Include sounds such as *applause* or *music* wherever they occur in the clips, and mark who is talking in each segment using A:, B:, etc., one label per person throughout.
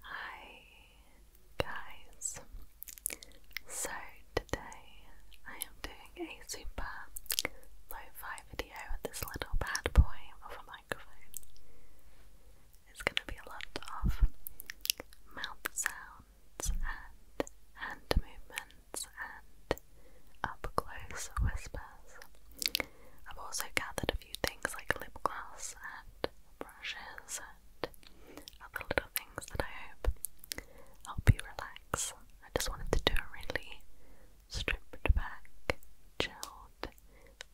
A: Hi guys. So today I am doing a super lo-fi video with this little bad boy of a microphone. It's gonna be a lot of mouth sounds and hand movements and up close whispers. I've also gathered a few things like lip gloss and brushes and other little things that I hope help you relax. I just wanted to do a really stripped back, chilled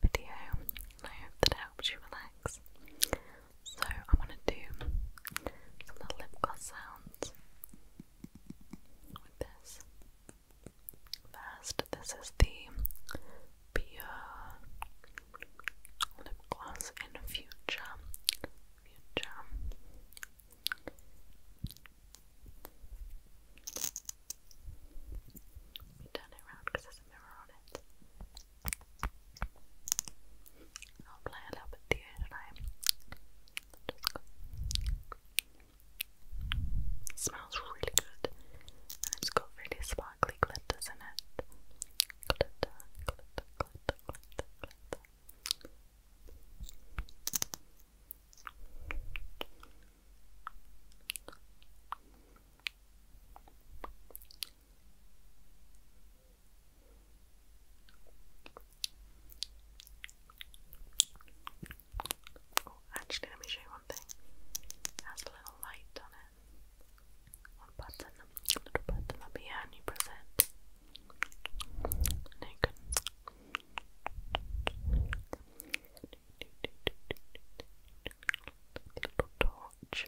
A: video and I hope that it helps you relax. So I am going to do some little lip gloss sounds with this. First, this is the pure lip gloss in future. Future. turn it around because there's a mirror on it. I'll play a little bit with you tonight. Just go. smells really good it's got really spicy sparkly glitters in it. Glitter, glitter, glitter, glitter, glitter. Oh, actually, let me show you one thing. It has a little light on it. I'll a little button up here, and you press it. And you can little torch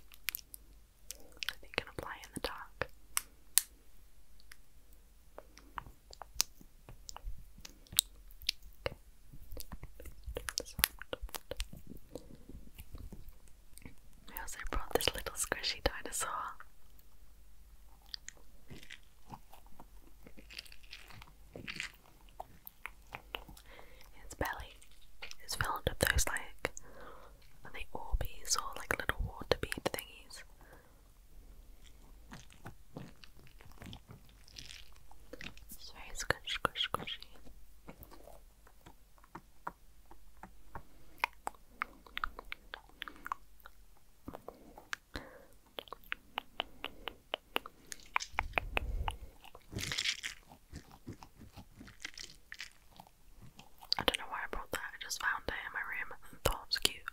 A: so that you can apply in the dark back. I also brought this little squishy dinosaur. Its belly is filled with those like are they or like little water bead thingies. It's very squishy. I don't know why I brought that, I just found it in my room and thought it was cute.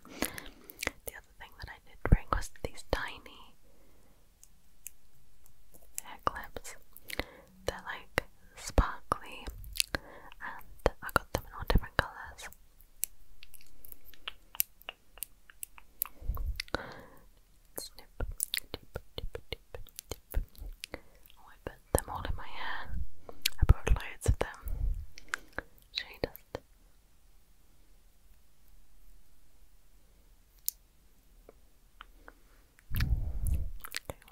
A: The other thing that I did bring was these tiny hair They're like sparkly and I got them in all different colours. Snip, dip, dip, oh, them all in my hair. I brought loads of them. Should I Okay,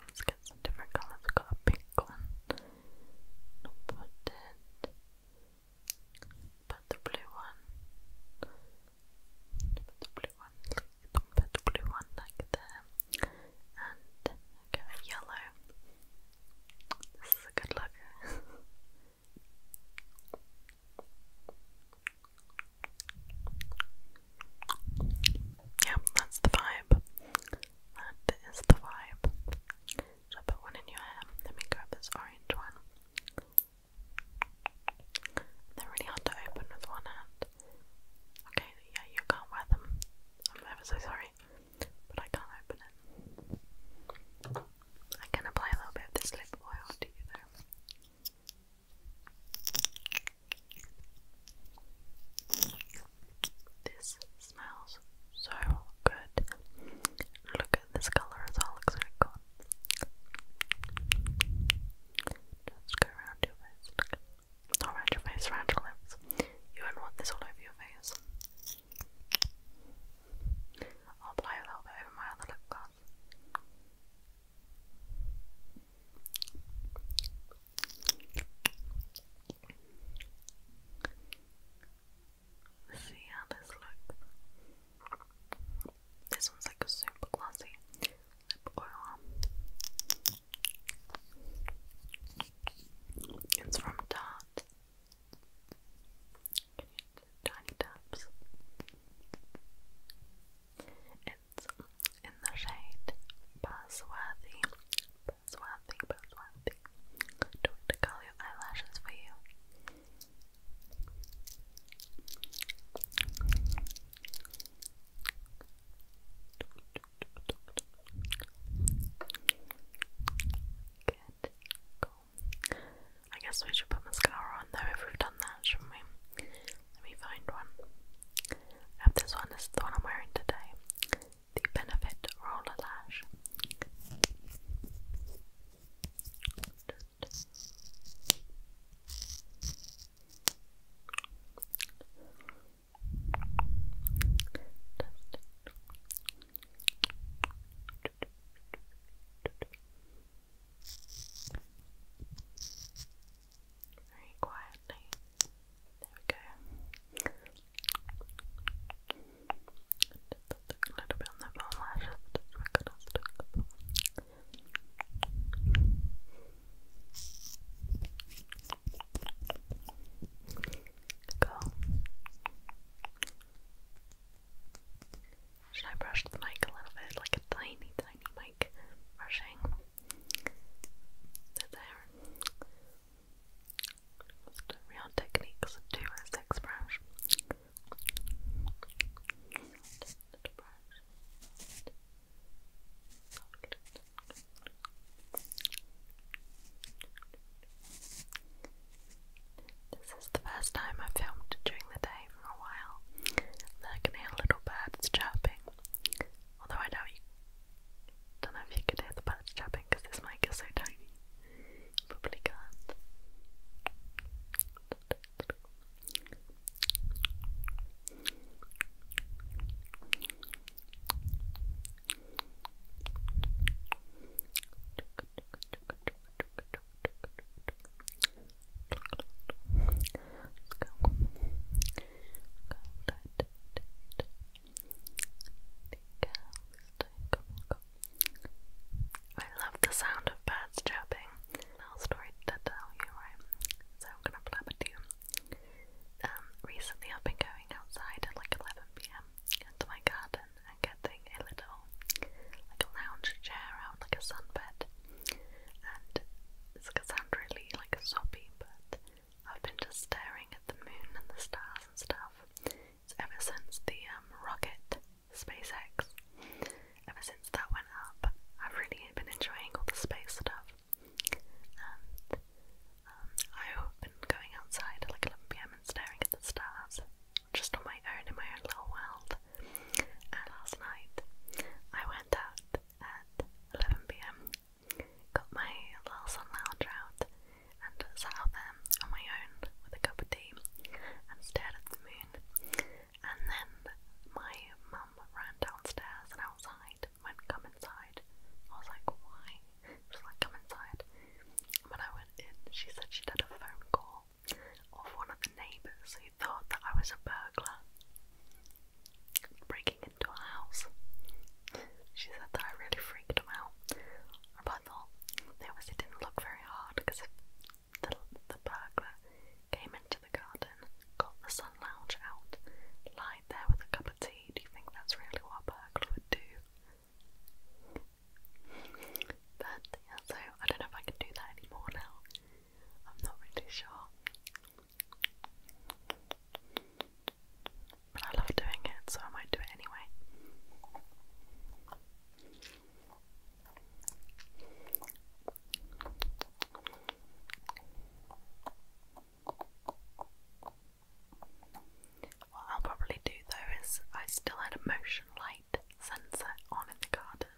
A: let's get some different colors. got a pink one. Not put the blue one. Put the blue one. Put the blue one like there. And go yellow. *laughs* This is a good look. Yep, that's the vibe. That is the vibe. So I one in your hair. Let me grab this orange one. They're really hard to open with one hand. Okay, yeah, you can't wear them. I'm ever so sorry. But I can't open it. I can apply a little bit of this lip oil to you this smells so good. Look at this colour, it's all exotic on. Just go around your face. Not around your face, around your lips. You do not want this all over your face. I'll apply a little bit over my other lip gloss see how this looks. This one's like a super classy. It's from Tarte. Tiny taps. It's in the shade Buzzworthy. Buzzworthy, Buzzworthy. Do it to curl your eyelashes for you. Good. Cool. I guess we should put mascara on though if we've done that, shouldn't we? Let me find one. I have this one, this is the one I'm wearing today. The Benefit Roller Lash. Very quietly. There we go. a little bit on the eyelashes just because I'm stuck Go. Should I brush the mic a little bit? Like a tiny, tiny mic brushing. There. real techniques of 206 This is the first time i filmed during the day away for a while, then I can hear little birds chirping. Although I don't know if you can hear the birds chirping because this mic is so tiny. probably can *laughs* I love the sound of birds chirping. Little story to you, right? So I'm gonna blab at you. Um, recently I've been going outside at like 11pm into my garden and getting a little, like a lounge chair out, like a sunbed and it's gonna sound really like soppy, but I've been just staring at the moon and the stars and stuff. It's ever since the um, rocket, SpaceX, ever since that went up, I've really been enjoying all the space stuff. And um, I've been going outside at like 11 pm and staring at the stars, just on my own in my own little world last night I went out at 11pm, got my little sun out, and sat there on my own with a cup of tea and stared at the moon. And then my mum ran downstairs and outside, went, Come inside. I was like, Why? She like, Come inside. When I went in, she said she'd had a phone call of one of the neighbours who thought that I was a burglar breaking into a house. She said that I really freaked them out, but I thought they obviously didn't look very hard because if the, the burglar came into the garden, got the sun lounge out, lied there with a cup of tea, do you think that's really what a burglar would do? But yeah, so I don't know if I can do that anymore now. I'm not really sure. But I love doing it, so I might do it anyway. What I'll probably do though is I still had a motion light sensor on in the garden,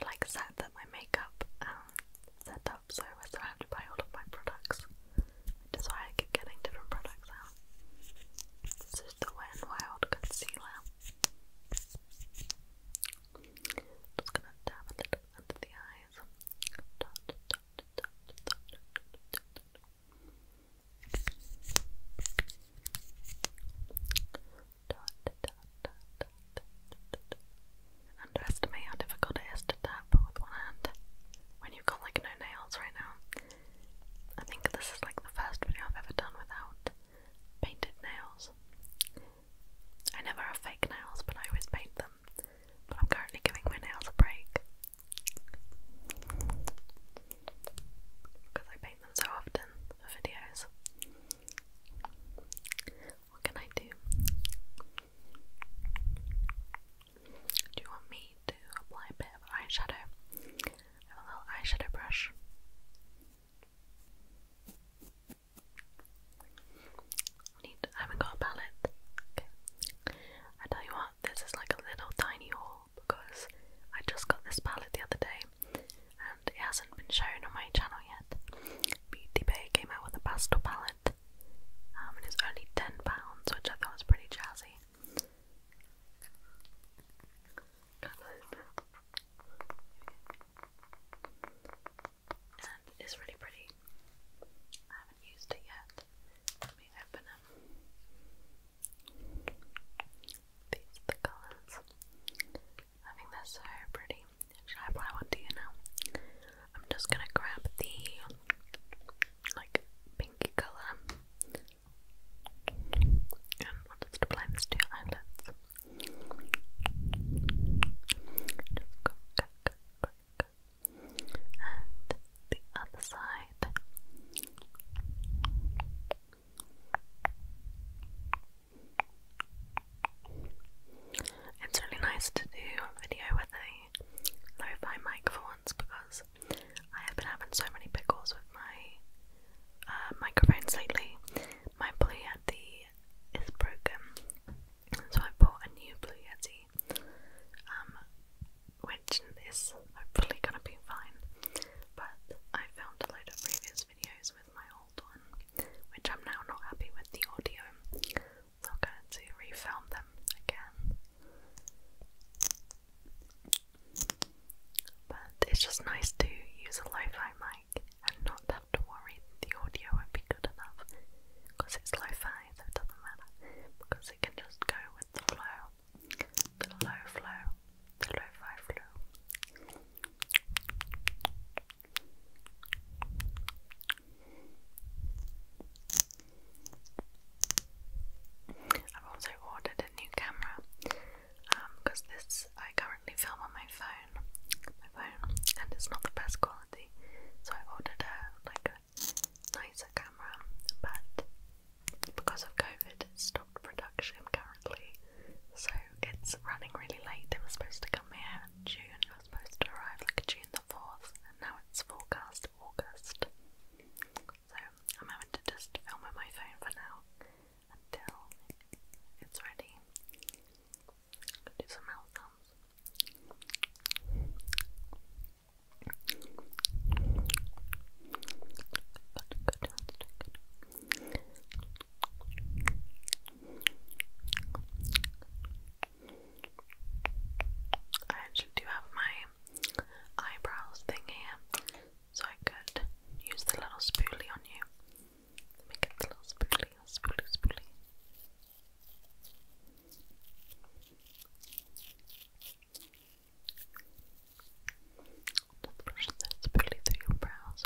A: I like set that my makeup set up so I was allowed to buy all of my products. Which is why I keep getting different products out. This is the Wet n Wild Concealer. Just gonna dab a under the eyes. Underestimate how difficult it is to tap with one hand when you've got like no nails right now. I think this is like the first video I've ever done without painted nails. I never have fake nails, but I always paint them. But I'm currently giving my nails a break because I paint them so often for videos. What can I do? Do you want me to apply a bit of eyeshadow? a little eyeshadow brush. Need, I haven't got a palette. I tell you what, this is like a little tiny haul because I just got this palette the other day and it hasn't been shown on my channel yet. Beauty Bay came out with a pastel palette um, and it's only £10, which I thought was pretty jazzy. And it's really pretty. I haven't used it yet. Let me open them. These are the colours. I think that's so pretty. Actually, I probably want to, you know. I'm just gonna grab the like pinky color and just apply this to your eyelids. Just go, go, go, go, And the other side. It's really nice to do a video with a lo mic for once because I have been having so many pickles with my uh, microphones lately. My Blue Yeti is broken, so I bought a new Blue Yeti, um, which is hopefully gonna be fine. But I filmed a load of previous videos with my old one, which I'm now not happy with the audio, I'm going to refilm them again. But it's just nice to use a lo-fi mic and not have to worry the audio won't be good enough because it's lo-fi, so it doesn't matter because it can just go with the flow, the low flow, the lo-fi flow. I've also ordered a new camera because um, this I currently film on my phone, my phone, and it's not the best quality. So I ordered a like nicer camera, but because of COVID, it's stopped production currently. So it's running really late. They were supposed to come here in June. I was supposed to arrive like June the 4th, and now it's forecast August. So I'm having to just film with my phone for now until it's ready. Do some mouth sounds. I actually do have my eyebrows thing so I could use the little spoolie on you. Let me get the little spoolie, spoolie, spoolie. Just brush the spoolie through your brows.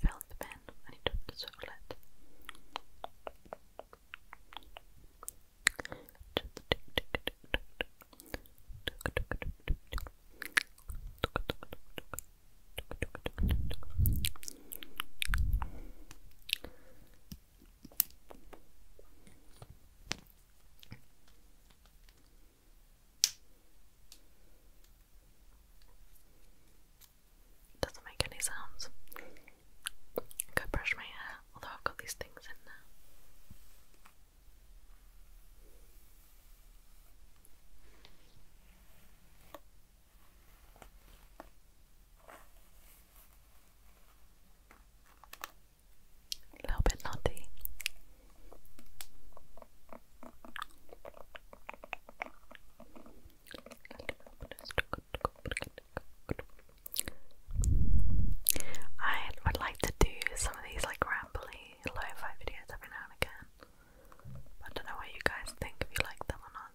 A: Fill the I need to put the circlet. Doesn't make any sounds. Go brush my hair, although I've got these things in now. A little bit naughty. I would like to do some of these like rambly lo-fi videos every now and again. I don't know what you guys think if you like them or not.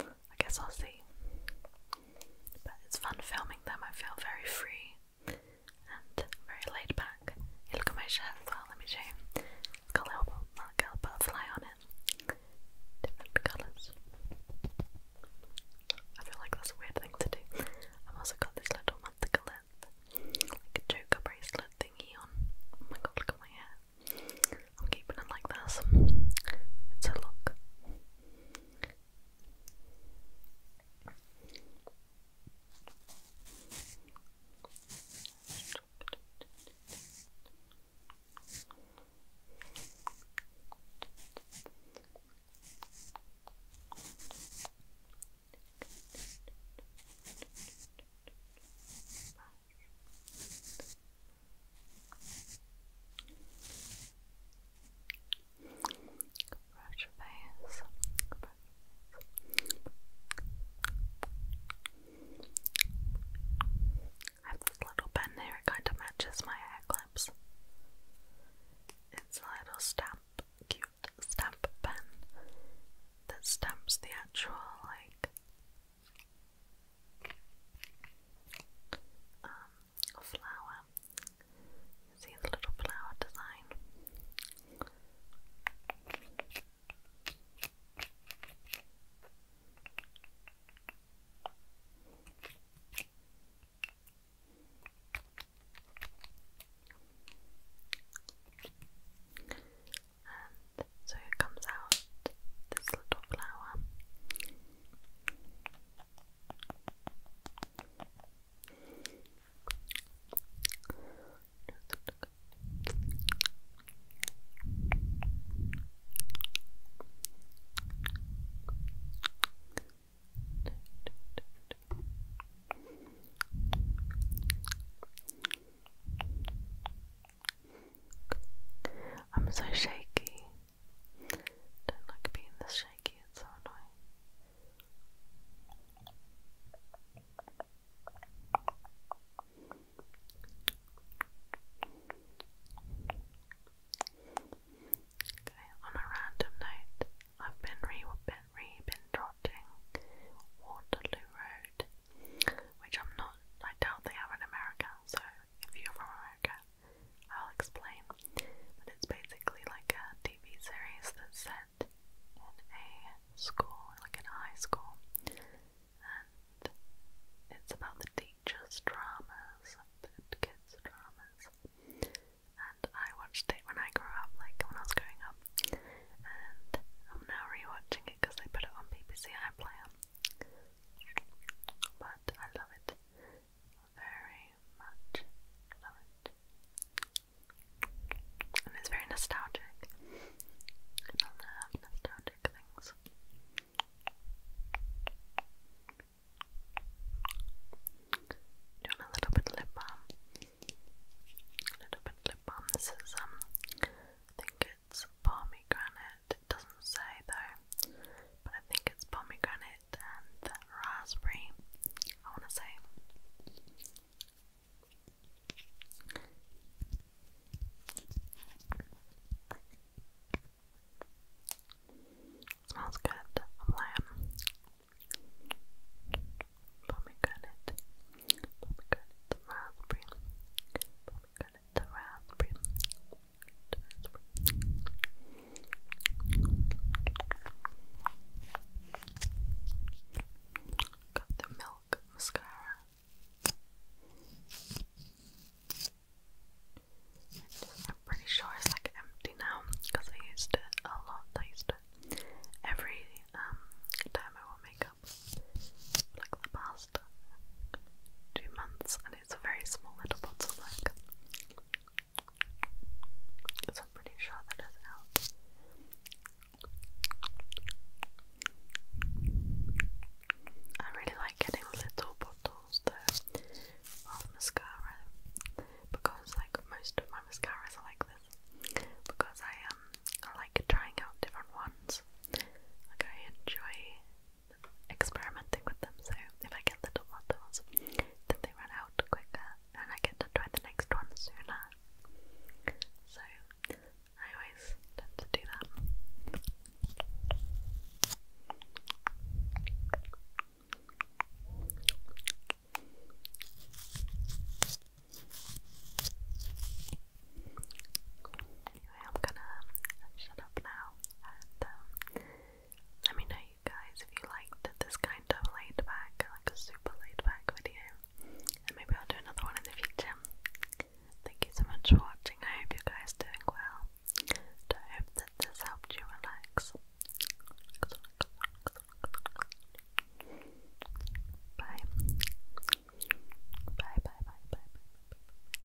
A: I guess I'll see. But it's fun filming them, I feel very free and very laid back. look at my shirt as well, let me show you. It's got a little, on it. Different colours. I feel like that's a weird thing to do. I've also got this little manticolette, like a joker bracelet thingy on. Oh my god, look at my hair. I'm keeping it like this. It's a look. Brush your face. I have this little pen here, it kind of matches my hair clips. It's a little stamp, cute stamp pen that stamps the actual, like, um, a flower. You see the little flower design. And so it comes out this little flower. I'm so shaky. Don't like being this shaky, it's so annoying. Okay, on a random note, I've been re been re been trotting Waterloo Road, which I'm not. I doubt they have in America. So if you're from I'll explain. But it's basically like a TV series that's set in a school, like in a high school. And it's about the teachers' dramas, the kids' dramas. And I watched it when I grew up, like when I was growing up. And I'm now rewatching it because they put it on BBC iPlayer. But I love it. Very much And it's very nostalgic. I love nostalgic things. Doing a little bit lip balm. A little bit lip balm. This is um I think it's pomegranate it doesn't say though, but I think it's pomegranate and raspberry, I want to say. Smells good, I'm lying. Pomegranate, pomegranate, raspberry, Got the milk mascara. I'm pretty sure it's like empty now because I used it a lot. I used it every um, time I wore makeup, like the past two months, and it's a very small little bottle. Like, so i pretty sure that is out. I really like getting little bottles of mascara because like most of my mascaras are like this because I um I like trying out different ones. Like I enjoy experimenting with them, so if I get little bottles, then they run out quicker and I get to try the next one sooner. So, I always tend to do that. I'm gonna shut up now and um, let me know you guys if you liked this kind of laid back, like a super laid back video. And maybe I'll do another one in the future. Thank you so much for watching. I hope you guys are doing well. I hope that this helped you relax. Bye. Bye, bye, bye, bye, bye, bye, bye.